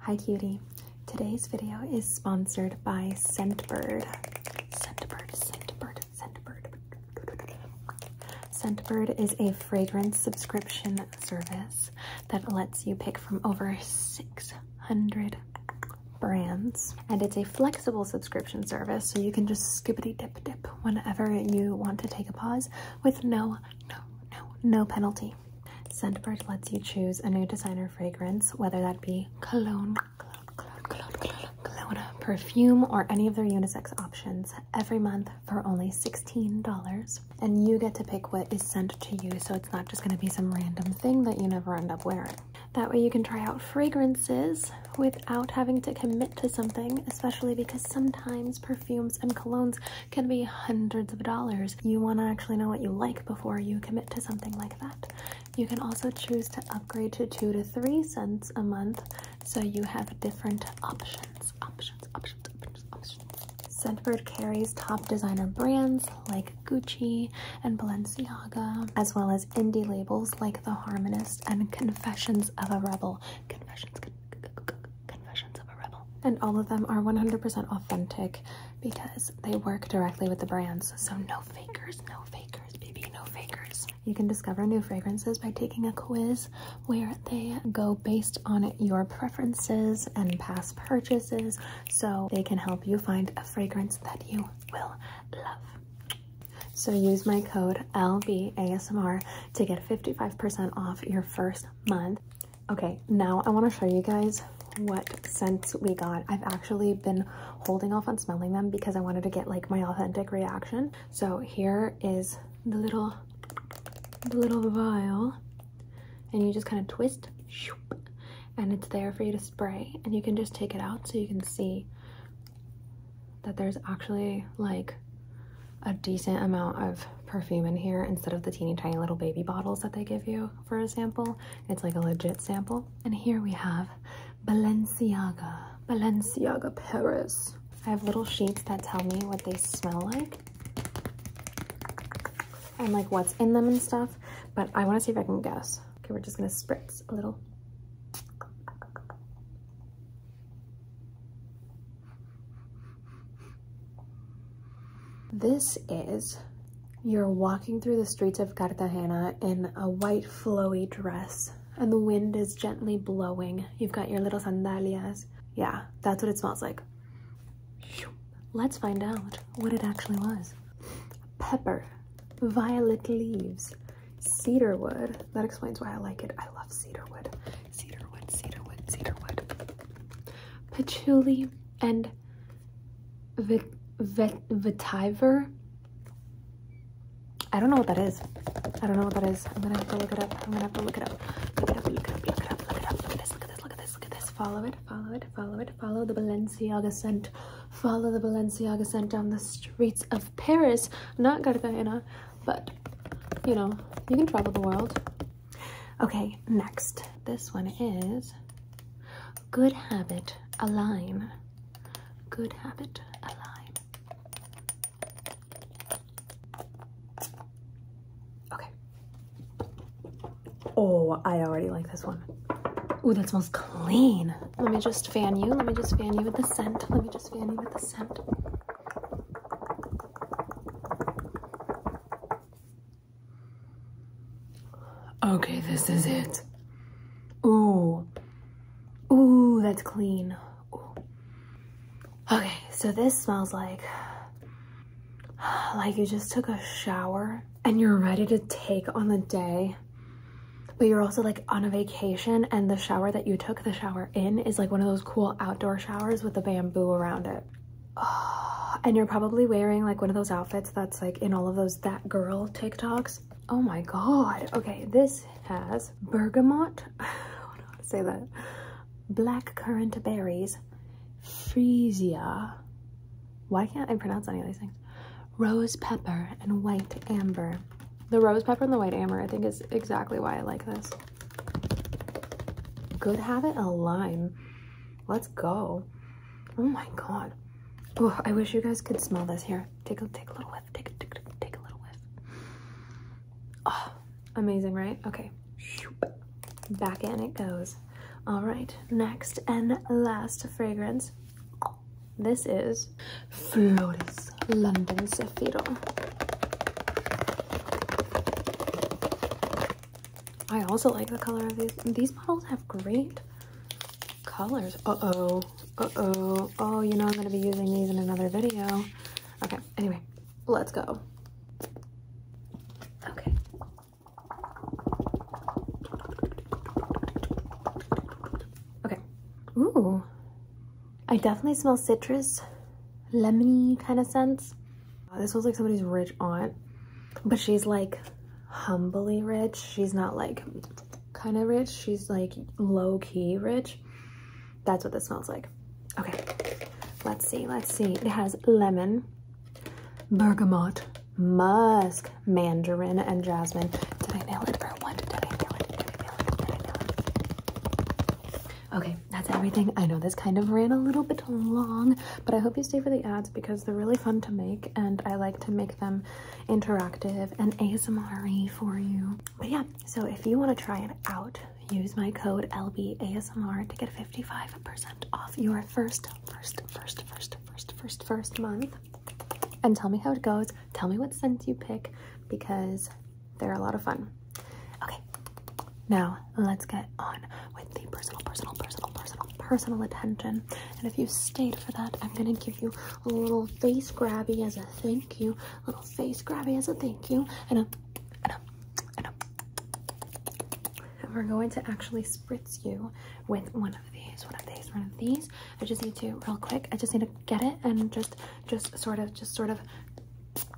Hi cutie. Today's video is sponsored by Scentbird. Scentbird, Scentbird, Scentbird. Scentbird is a fragrance subscription service that lets you pick from over 600 brands. And it's a flexible subscription service, so you can just skippity dip dip whenever you want to take a pause with no, no, no, no penalty. Scentbird lets you choose a new designer fragrance, whether that be cologne, perfume, or any of their unisex options every month for only $16. And you get to pick what is sent to you, so it's not just going to be some random thing that you never end up wearing. That way you can try out fragrances without having to commit to something, especially because sometimes perfumes and colognes can be hundreds of dollars. You want to actually know what you like before you commit to something like that. You can also choose to upgrade to two to three cents a month so you have different options. Options, options, options, options. Scentbird carries top designer brands like Gucci and Balenciaga, as well as indie labels like The Harmonist and Confessions of a Rebel. Confessions, Confessions of a Rebel. And all of them are 100% authentic because they work directly with the brands. So no fakers, no fakers, baby, no fakers. You can discover new fragrances by taking a quiz where they go based on your preferences and past purchases so they can help you find a fragrance that you will love. So use my code LBASMR to get 55% off your first month. Okay, now I want to show you guys what scents we got. I've actually been holding off on smelling them because I wanted to get like my authentic reaction. So here is the little, the little vial and you just kind of twist and it's there for you to spray and you can just take it out so you can see that there's actually like a decent amount of perfume in here instead of the teeny tiny little baby bottles that they give you for a sample. It's like a legit sample. And here we have Balenciaga, Balenciaga Paris. I have little sheets that tell me what they smell like and like what's in them and stuff, but I wanna see if I can guess. Okay, we're just gonna spritz a little. This is you're walking through the streets of Cartagena in a white flowy dress and the wind is gently blowing. You've got your little sandalias. Yeah, that's what it smells like. Let's find out what it actually was. Pepper, violet leaves, cedarwood. That explains why I like it. I love cedarwood cedarwood, cedarwood, cedarwood, patchouli, and vetiver. I don't know what that is. I don't know what that is. I'm gonna have to look it up. I'm gonna have to look it up. Look it up, look it up, look it up, look at this, look at this, Follow it, follow it, follow it, follow the Balenciaga scent. Follow the Balenciaga scent down the streets of Paris. Not Cartagena, but you know, you can travel the world. Okay, next. This one is Good Habit Align. Good Habit Align. Okay. Oh, I already like this one. Ooh, that smells clean. Let me just fan you. Let me just fan you with the scent. Let me just fan you with the scent. Okay, this is it. Ooh. Ooh, that's clean. Okay, so this smells like like you just took a shower and you're ready to take on the day but you're also like on a vacation and the shower that you took the shower in is like one of those cool outdoor showers with the bamboo around it Ah, and you're probably wearing like one of those outfits that's like in all of those that girl TikToks. Oh my god. Okay, this has bergamot. I don't know how to say that. Black currant berries, freesia. Why can't I pronounce any of these things? Rose pepper and white amber. The rose pepper and the white amber, I think, is exactly why I like this. Good habit a lime. Let's go. Oh my god. Oh, I wish you guys could smell this here. Take a take a little whiff. Take a take, take a little whiff. Oh, amazing, right? Okay. Back in it goes. All right, next and last fragrance. This is Flores London Zephyro. I also like the color of these. These bottles have great colors. Uh-oh. Uh-oh. Oh, you know I'm going to be using these in another video. Okay, anyway, let's go. Okay. Okay. Ooh. I definitely smell citrus, lemony kind of sense. Uh, this was like somebody's rich aunt, but she's like humbly rich. She's not like kind of rich. She's like low key rich. That's what this smells like. Okay, let's see, let's see. It has lemon, bergamot, musk, mandarin, and jasmine. Did I nail it or what? Did I nail it? Did I nail it? Did I nail it? Okay, that's everything. I know this kind of ran a little bit long, but I hope you stay for the ads because they're really fun to make and I like to make them interactive and ASMR for you. But yeah, so if you want to try it out, use my code LBASMR to get 55% off your first, first, first, first, first, first, first month. And tell me how it goes. Tell me what sense you pick because they're a lot of fun. Okay, now let's get on with the personal, personal, personal, personal, personal attention. And if you stayed for that, I'm gonna give you a little face grabby as a thank you, little face grabby as a thank you, and a, and a, and a. And we're going to actually spritz you with one of these, one of these, one of these. I just need to real quick. I just need to get it and just, just sort of, just sort of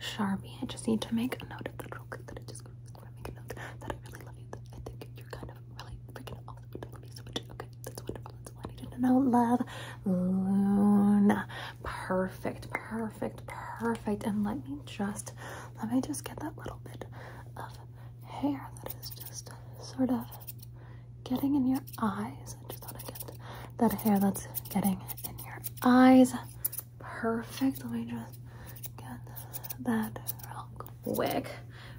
Sharpie. I just need to make a note of the little quick. That I just want to make a note that I really love you. That I think you're kind of really freaking awesome. I love you so much. Okay, that's wonderful. That's all I needed to know. Love, Luna. Perfect, perfect, perfect. And let me just, let me just get that little bit of hair that is just sort of getting in your eyes. I just want to get that hair that's getting in your eyes perfect. Let me just get that real quick.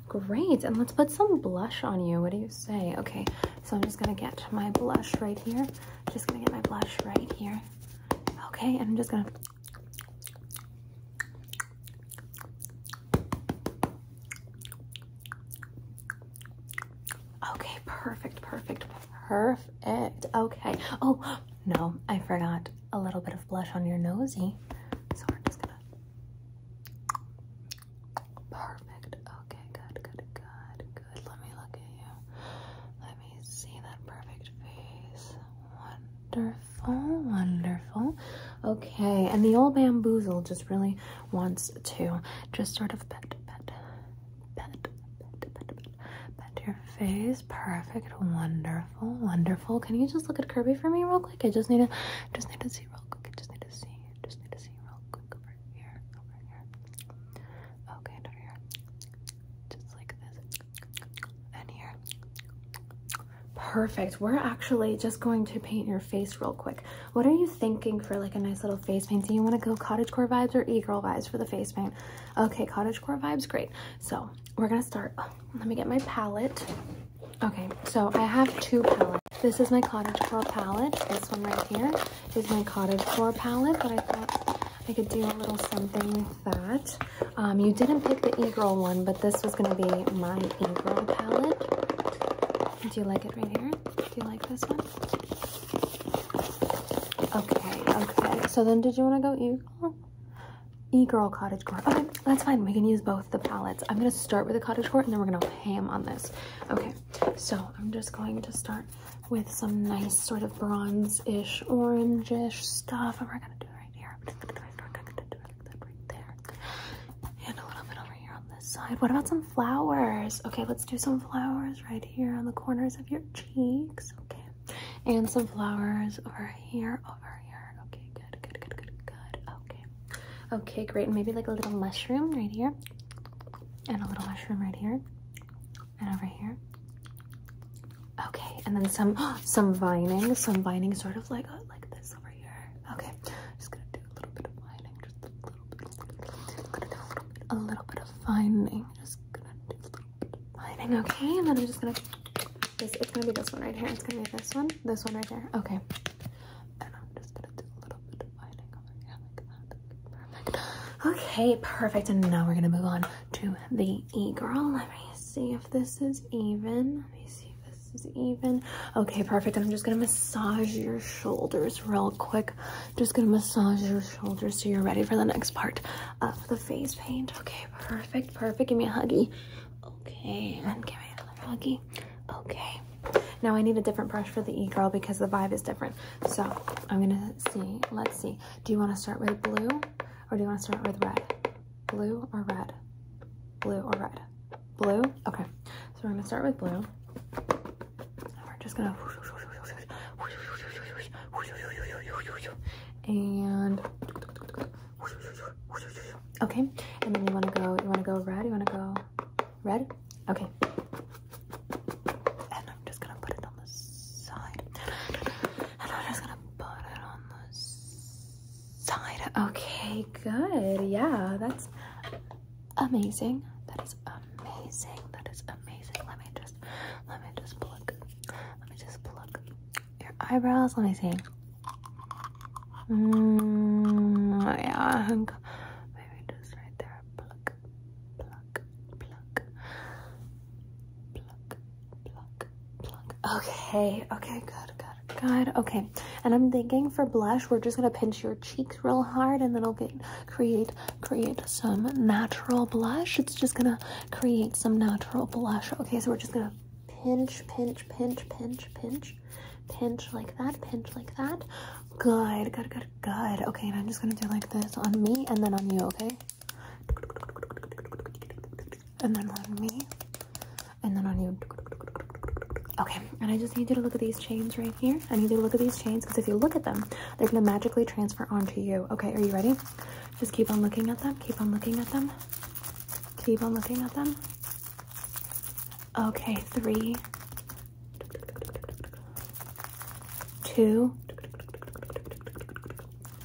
Great, and let's put some blush on you. What do you say? Okay, so I'm just gonna get my blush right here. Just gonna get my blush right here. Okay, and I'm just gonna Okay, perfect, perfect, Perfect. Okay. Oh, no, I forgot a little bit of blush on your nosy. So we're just gonna. Perfect. Okay, good, good, good, good. Let me look at you. Let me see that perfect face. Wonderful, wonderful. Okay, and the old bamboozle just really wants to just sort of pet, pet, bend, bend, your face. Perfect, wonderful, wonderful. Can you just look at Kirby for me real quick? I just need to, just need to see real quick. just need to see, just need to see real quick over here, over here. Okay, over here, just like this, and here. Perfect. We're actually just going to paint your face real quick. What are you thinking for like a nice little face paint? you want to go cottagecore vibes or e-girl vibes for the face paint? Okay, cottage core vibes, great. So we're gonna start. let me get my palette. Okay, so I have two palettes. This is my cottage core palette. This one right here is my cottage core palette, but I thought I could do a little something with that. Um, you didn't pick the e-girl one, but this was gonna be my e-girl palette. Do you like it right here? Do you like this one? Okay, okay. So then did you want to go E-Girl? E-Girl Cottage Core. Okay, that's fine. We can use both the palettes. I'm going to start with the Cottage Core and then we're going to ham on this. Okay, so I'm just going to start with some nice sort of bronze-ish, orange-ish stuff. And we're going to do it right here. Right there. And a little bit over here on this side. What about some flowers? Okay, let's do some flowers right here on the corners of your cheeks. Okay. And some flowers over here, over here. Okay, good, good, good, good, good. Okay. Okay, great. maybe like a little mushroom right here. And a little mushroom right here. And over here. Okay, and then some some vining, some vining sort of like uh, like this over here. Okay. Just gonna do a little bit of vining, just a little bit. a little bit, a little bit of vining. Just gonna do lining, okay? And then I'm just gonna, this, it's gonna be this one right here. It's gonna be this one, this one right here. Okay. And I'm just gonna do a little bit of lining over here like that. Okay, perfect. And now we're gonna move on to the e-girl. Let me see if this is even. Let me see if this is even. Okay, perfect. I'm just gonna massage your shoulders real quick. Just gonna massage your shoulders so you're ready for the next part of the face paint. Okay, perfect, perfect. Give me a huggy. Okay, give me another huggy. Okay. Now I need a different brush for the e-girl because the vibe is different. So I'm gonna see, let's see. Do you wanna start with blue or do you wanna start with red? Blue or red? Blue or red? Blue? Okay, so we're gonna start with blue. And we're just gonna and okay. And then you wanna go. You wanna go red. You wanna go red. Okay. And I'm just gonna put it on the side. And I'm just gonna put it on the side. Okay. Good. Yeah. That's amazing. That is amazing. That is amazing. Let me just let me just pluck. Let me just pluck your eyebrows. Let me see. Mm, oh yeah, maybe just right there. Pluck, pluck, pluck, pluck, pluck, pluck. Okay, okay, good, good, good. Okay, and I'm thinking for blush, we're just gonna pinch your cheeks real hard, and then i will get create create some natural blush. It's just gonna create some natural blush. Okay, so we're just gonna pinch, pinch, pinch, pinch, pinch, pinch like that, pinch like that. Good, good, good, good. Okay, and I'm just gonna do like this on me and then on you, okay? And then on me, and then on you. Okay, and I just need you to look at these chains right here. I need you to look at these chains because if you look at them, they're gonna magically transfer onto you. Okay, are you ready? Just keep on looking at them. Keep on looking at them. Keep on looking at them. Okay, three, two,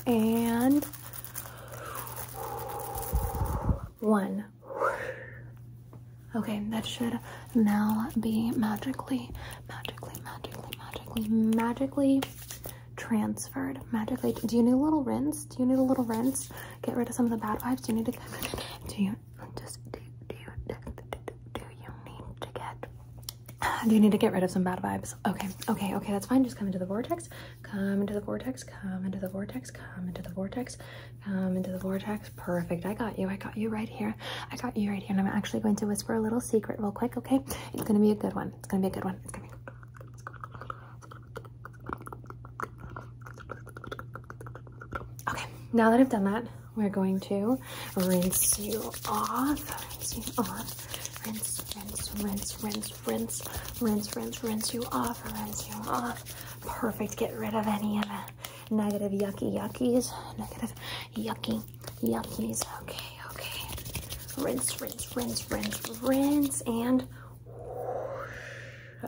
and one. Okay, that should now be magically magically, magically, magically, magically transferred. Magically, do you need a little rinse? Do you need a little rinse? Get rid of some of the bad vibes. Do you need to? Do you just do, do you do you need to get? Do you need to get rid of some bad vibes? Okay, okay, okay. That's fine. Just come into the vortex. Come into the vortex. Come into the vortex. Come into the vortex. Come into the vortex. Perfect. I got you. I got you right here. I got you right here, and I'm actually going to whisper a little secret real quick, okay? It's gonna be a good one. It's gonna be a good one. Okay, now that I've done that, we're going to rinse you off. Rinse you off. Rinse, rinse, rinse, rinse, rinse, rinse, rinse, rinse you off, rinse you off. Perfect. Get rid of any of the negative yucky yuckies, negative yucky he's Okay, okay. Rinse, rinse, rinse, rinse, rinse, and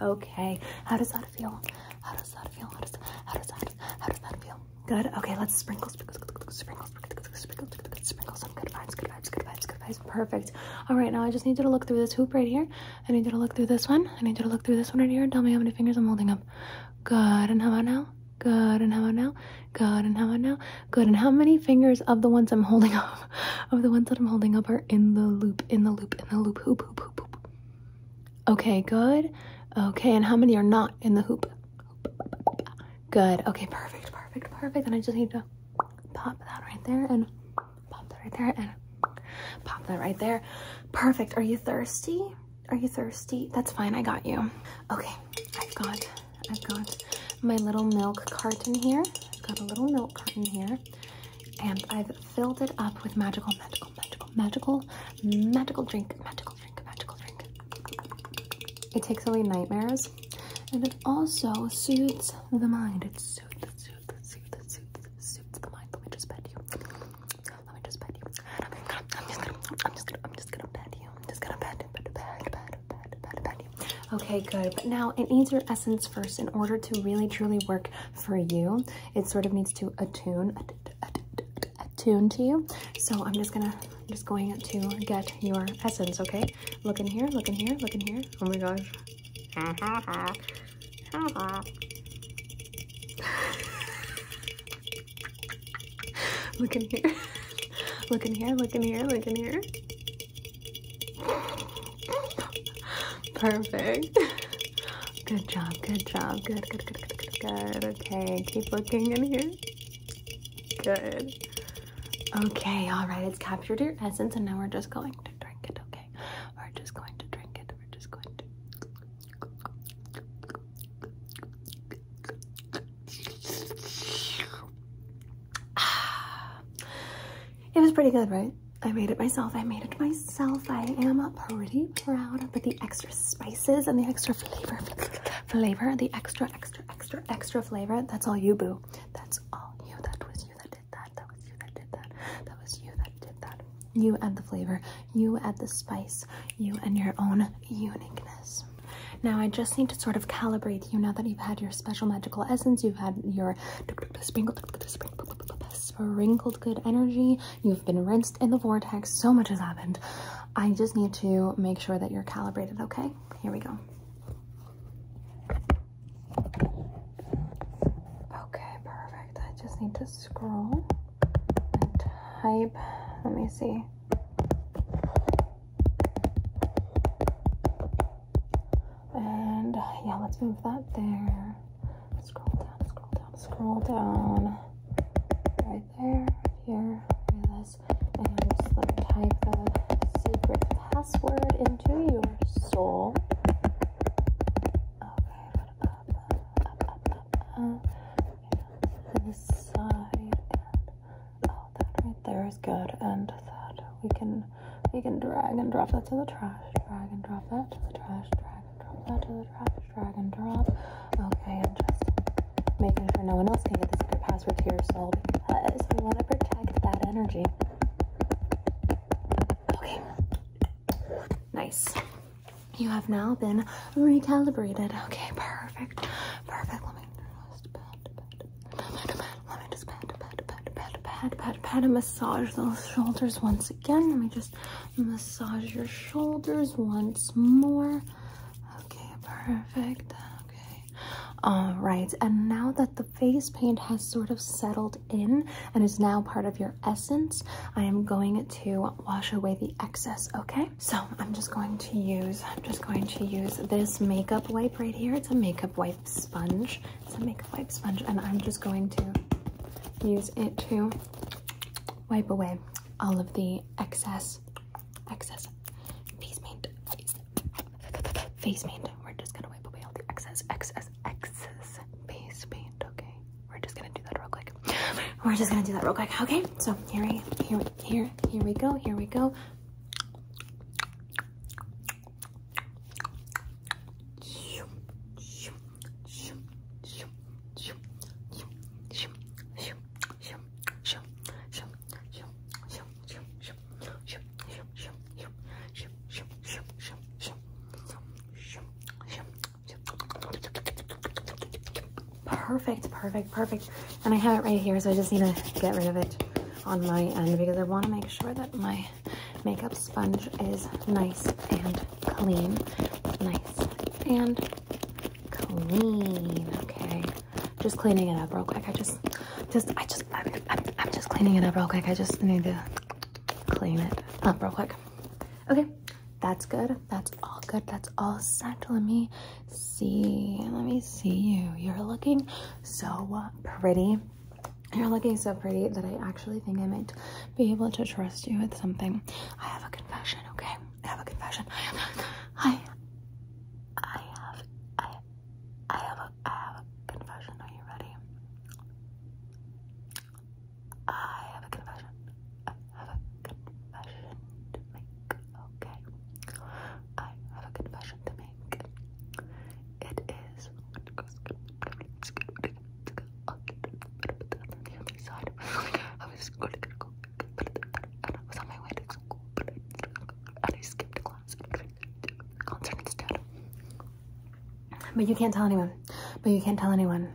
okay. How does that feel? How does that feel? How does that feel? how does that feel? Good. Okay, let's sprinkle, sprinkle, sprinkle, sprinkle, sprinkle, sprinkle, sprinkle some good vibes, good vibes, good vibes, good vibes. Perfect. All right, now I just need you to look through this hoop right here. I need you to look through this one. I need you to look through this one right here. Tell me how many fingers I'm holding up. Good. And how about now? Good. And how about Good. And how about Good. And how many fingers of the ones I'm holding up, of the ones that I'm holding up, are in the loop, in the loop, in the loop, hoop, hoop, hoop, hoop? Okay, good. Okay, and how many are not in the hoop? Good. Okay, perfect, perfect, perfect. And I just need to pop that right there and pop that right there and pop that right there. Perfect. Are you thirsty? Are you thirsty? That's fine, I got you. Okay, I've got, I've got my little milk carton here. I've got a little milk carton here and I've filled it up with magical, magical, magical, magical, magical drink, magical drink, magical drink. It takes away nightmares and it also soothes the mind. It soothes, soothes, soothes, soothes, soothes the mind. Let me just pet you. Let me just pet you. I'm just gonna, I'm just gonna, I'm just gonna, I'm just gonna pet you. I'm just gonna pet, pet, pet, pet, pet, pet, pet you. Okay, good. But now it needs your essence first in order to really truly work for you. It sort of needs to attune, attune to you. So I'm just gonna I'm just going to get your essence, okay? Look in here, look in here, look in here. Oh my gosh. look in here. Look in here, look in here, look in here. Perfect. Good job, good job. Good, good, good, good, Okay, keep looking in here. Good. Okay, all right, it's captured your essence and now we're just going to drink it, okay? We're just going to drink it. We're just going to. It was pretty good, right? I made it myself. I made it myself. I am pretty proud. But the extra spices and the extra flavor, flavor, the extra, extra, extra, extra flavor, that's all you, boo. That's all you. That was you that did that. That was you that did that. That was you that did that. You add the flavor. You add the spice, you and your own uniqueness. Now, I just need to sort of calibrate you now that you've had your special magical essence, you've had your sprinkled, good energy, you've been rinsed in the vortex, so much has happened. I just need to make sure that you're calibrated, okay? Here we go. Okay, perfect. I just need to scroll and type. Let me see. And yeah, let's move that there. Scroll down, scroll down, scroll down. Right there, here, this. And just let type the secret password into your soul. Okay, this side and oh that right there is good and that we can we can drag and drop that to the trash drag and drop that to the trash drag and drop that to the trash drag and drop okay I'm just making sure no one else can get the secret password to your soul because we want to protect that energy okay nice you have now been recalibrated. Okay, perfect. Perfect. Let me just pat, pat, pat. Let me just pat, pat, pat, pat, pat, pat, pat, and massage those shoulders once again. Let me just massage your shoulders once more. Okay, perfect. Okay. All right. And now that the face paint has sort of settled in and is now part of your essence, I am going to wash away the excess, okay? So I'm just going to use, I'm just going to use this makeup wipe right here. It's a makeup wipe sponge. It's a makeup wipe sponge and I'm just going to use it to wipe away all of the excess, excess face paint, face, paint. We're just gonna wipe away all the excess, excess, excess face paint, okay? We're just gonna do that real quick. We're just gonna do that real quick. Okay, so here we here here here we go. Here we go. Perfect, perfect, perfect. And I have it right here, so I just need to get rid of it on my end because I want to make sure that my makeup sponge is nice and clean. Nice and clean, okay? Just cleaning it up real quick. I just, just, I just, I'm, just cleaning it up real quick. I just need to clean it up real quick. Okay. That's good. That's all good. That's all set. Let me see. Let me see you. You're looking so pretty. You're looking so pretty that I actually think I might be able to trust you with something. I have a confession, okay? I have a confession. I I have I I have a I have a confession. Are you ready? I have a confession. I have a confession to make. Okay. I have a confession to make. It is I was on my way to school and I skipped class. Concert instead. But you can't tell anyone. But you can't tell anyone.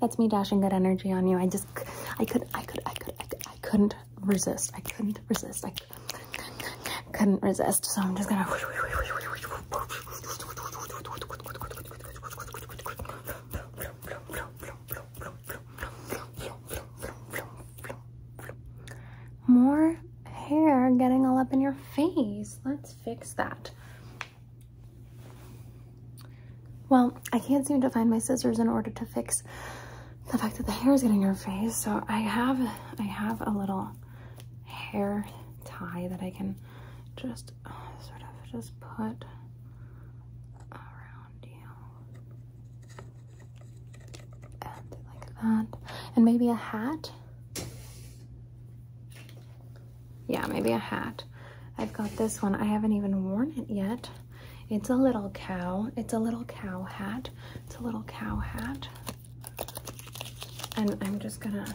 That's me dashing good energy on you. I just, I could, I could, I could, I, could, I couldn't resist. I couldn't resist. I couldn't resist. So I'm just gonna. More hair getting all up in your face. Let's fix that. Well, I can't seem to find my scissors in order to fix the fact that the hair is getting in her face. So I have, I have a little hair tie that I can just uh, sort of just put around you. like that. And maybe a hat. Yeah, maybe a hat. I've got this one. I haven't even worn it yet. It's a little cow. It's a little cow hat. It's a little cow hat. And I'm just gonna,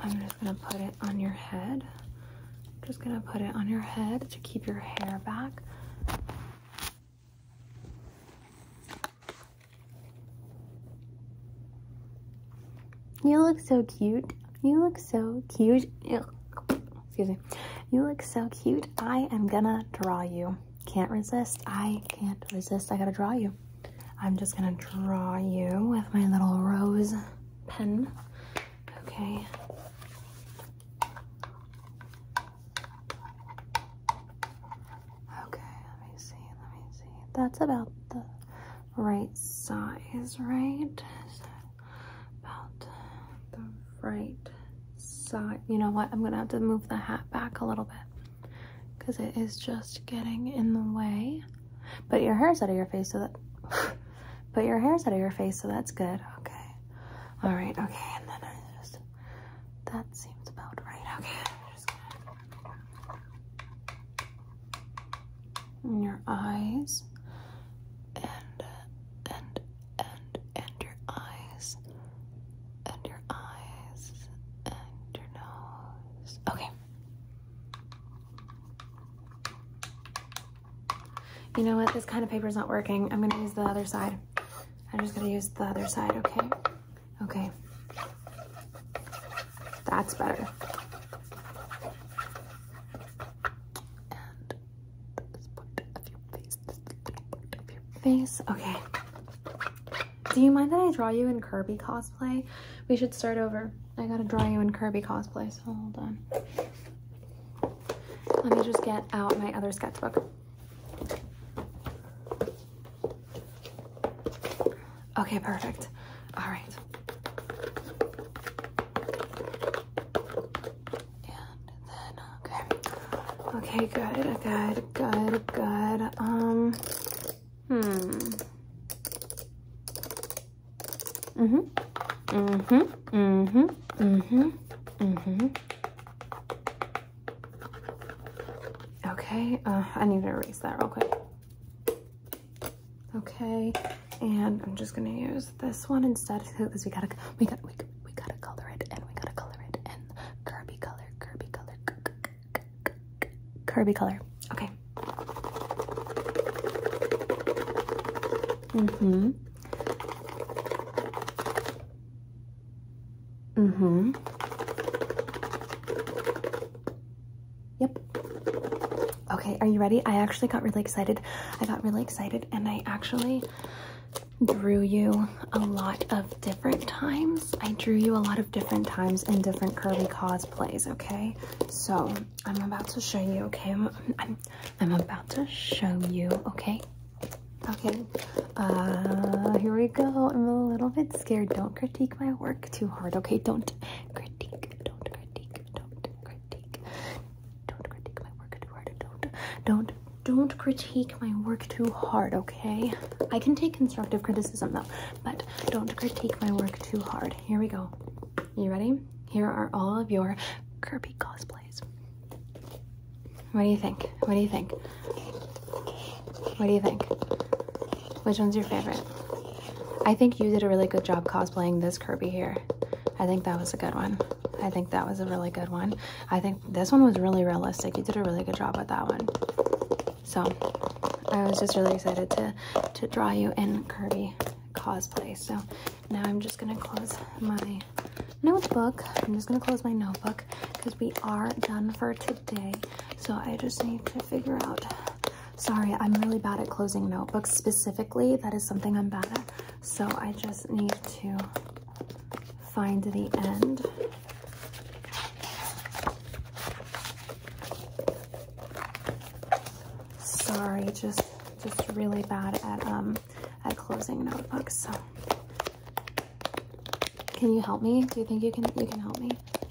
I'm just gonna put it on your head. just gonna put it on your head to keep your hair back. You look so cute. You look so cute. Excuse me. You look so cute. I am gonna draw you. Can't resist. I can't resist. I gotta draw you. I'm just gonna draw you with my little rose pen. Okay. Okay, let me see, let me see. That's about the, right size, right? about the right side. You know what? I'm gonna have to move the hat back a little bit because it is just getting in the way. Put your hair's out of your face, so that. Put your hair's out of your face, so that's good. Okay. All right. Okay. And then I just. That seems about right. Okay. There's And your eyes. And, and, and, and your eyes. And your eyes. And your nose. Okay. You know what? This kind of paper is not working. I'm going to use the other side. I'm just going to use the other side, okay? Okay. That's better. face, Okay. Do you mind that I draw you in Kirby cosplay? We should start over. I gotta draw you in Kirby cosplay, hold on. Let me just get out my other sketchbook. Okay, perfect. All right. And then, okay. Okay, good, good, good, good. Um, hmm. Mm-hmm. Mm-hmm. Mm-hmm. Mm-hmm. Mm-hmm. Okay, uh, I need to erase that real quick. Okay, and I'm just gonna use this one instead because we gotta, we gotta, we, gotta color it and we gotta color it and Kirby color, Kirby color, Kirby color. Okay. Mm-hmm. Mm-hmm. Yep. Okay, are you ready? I actually got really excited. I got really excited and I actually drew you a lot of different times. I drew you a lot of different times in different curly cosplays, okay? So I'm about to show you, okay? I'm, I'm about to show you, okay? Okay, uh, here we go. I'm a little bit scared. Don't critique my work too hard, okay? Don't critique, don't critique, don't critique, don't critique my work too hard, don't, don't, don't critique my work too hard, okay? I can take constructive criticism though, but don't critique my work too hard. Here we go. You ready? Here are all of your Kirby cosplays. What do you think? What do you think? What do you think? Which one's your favorite? I think you did a really good job cosplaying this Kirby here. I think that was a good one. I think that was a really good one. I think this one was really realistic. You did a really good job with that one. So I was just really excited to, to draw you in Kirby cosplay. So now I'm just gonna close my notebook. I'm just gonna close my notebook because we are done for today. So I just need to figure out. Sorry, I'm really bad at closing notebooks specifically. That is something I'm bad at. So I just need to find the end. Sorry, just just really bad at um at closing notebooks. So can you help me? Do you think you can you can help me?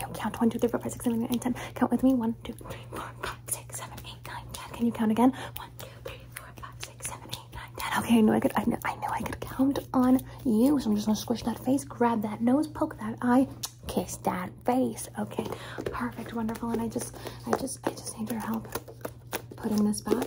you count. 1, 2, 3, 4, 5, 6, 7, 8, 9, 10. Count with me. 1, Can you count again? 1, 2, 3, 4, 5, 6, 7, 8, 9, 10. Okay, I know I could I know I know I could count on you. So I'm just gonna squish that face, grab that nose, poke that eye, kiss that face. Okay, perfect, wonderful. And I just I just I just need your help putting this back.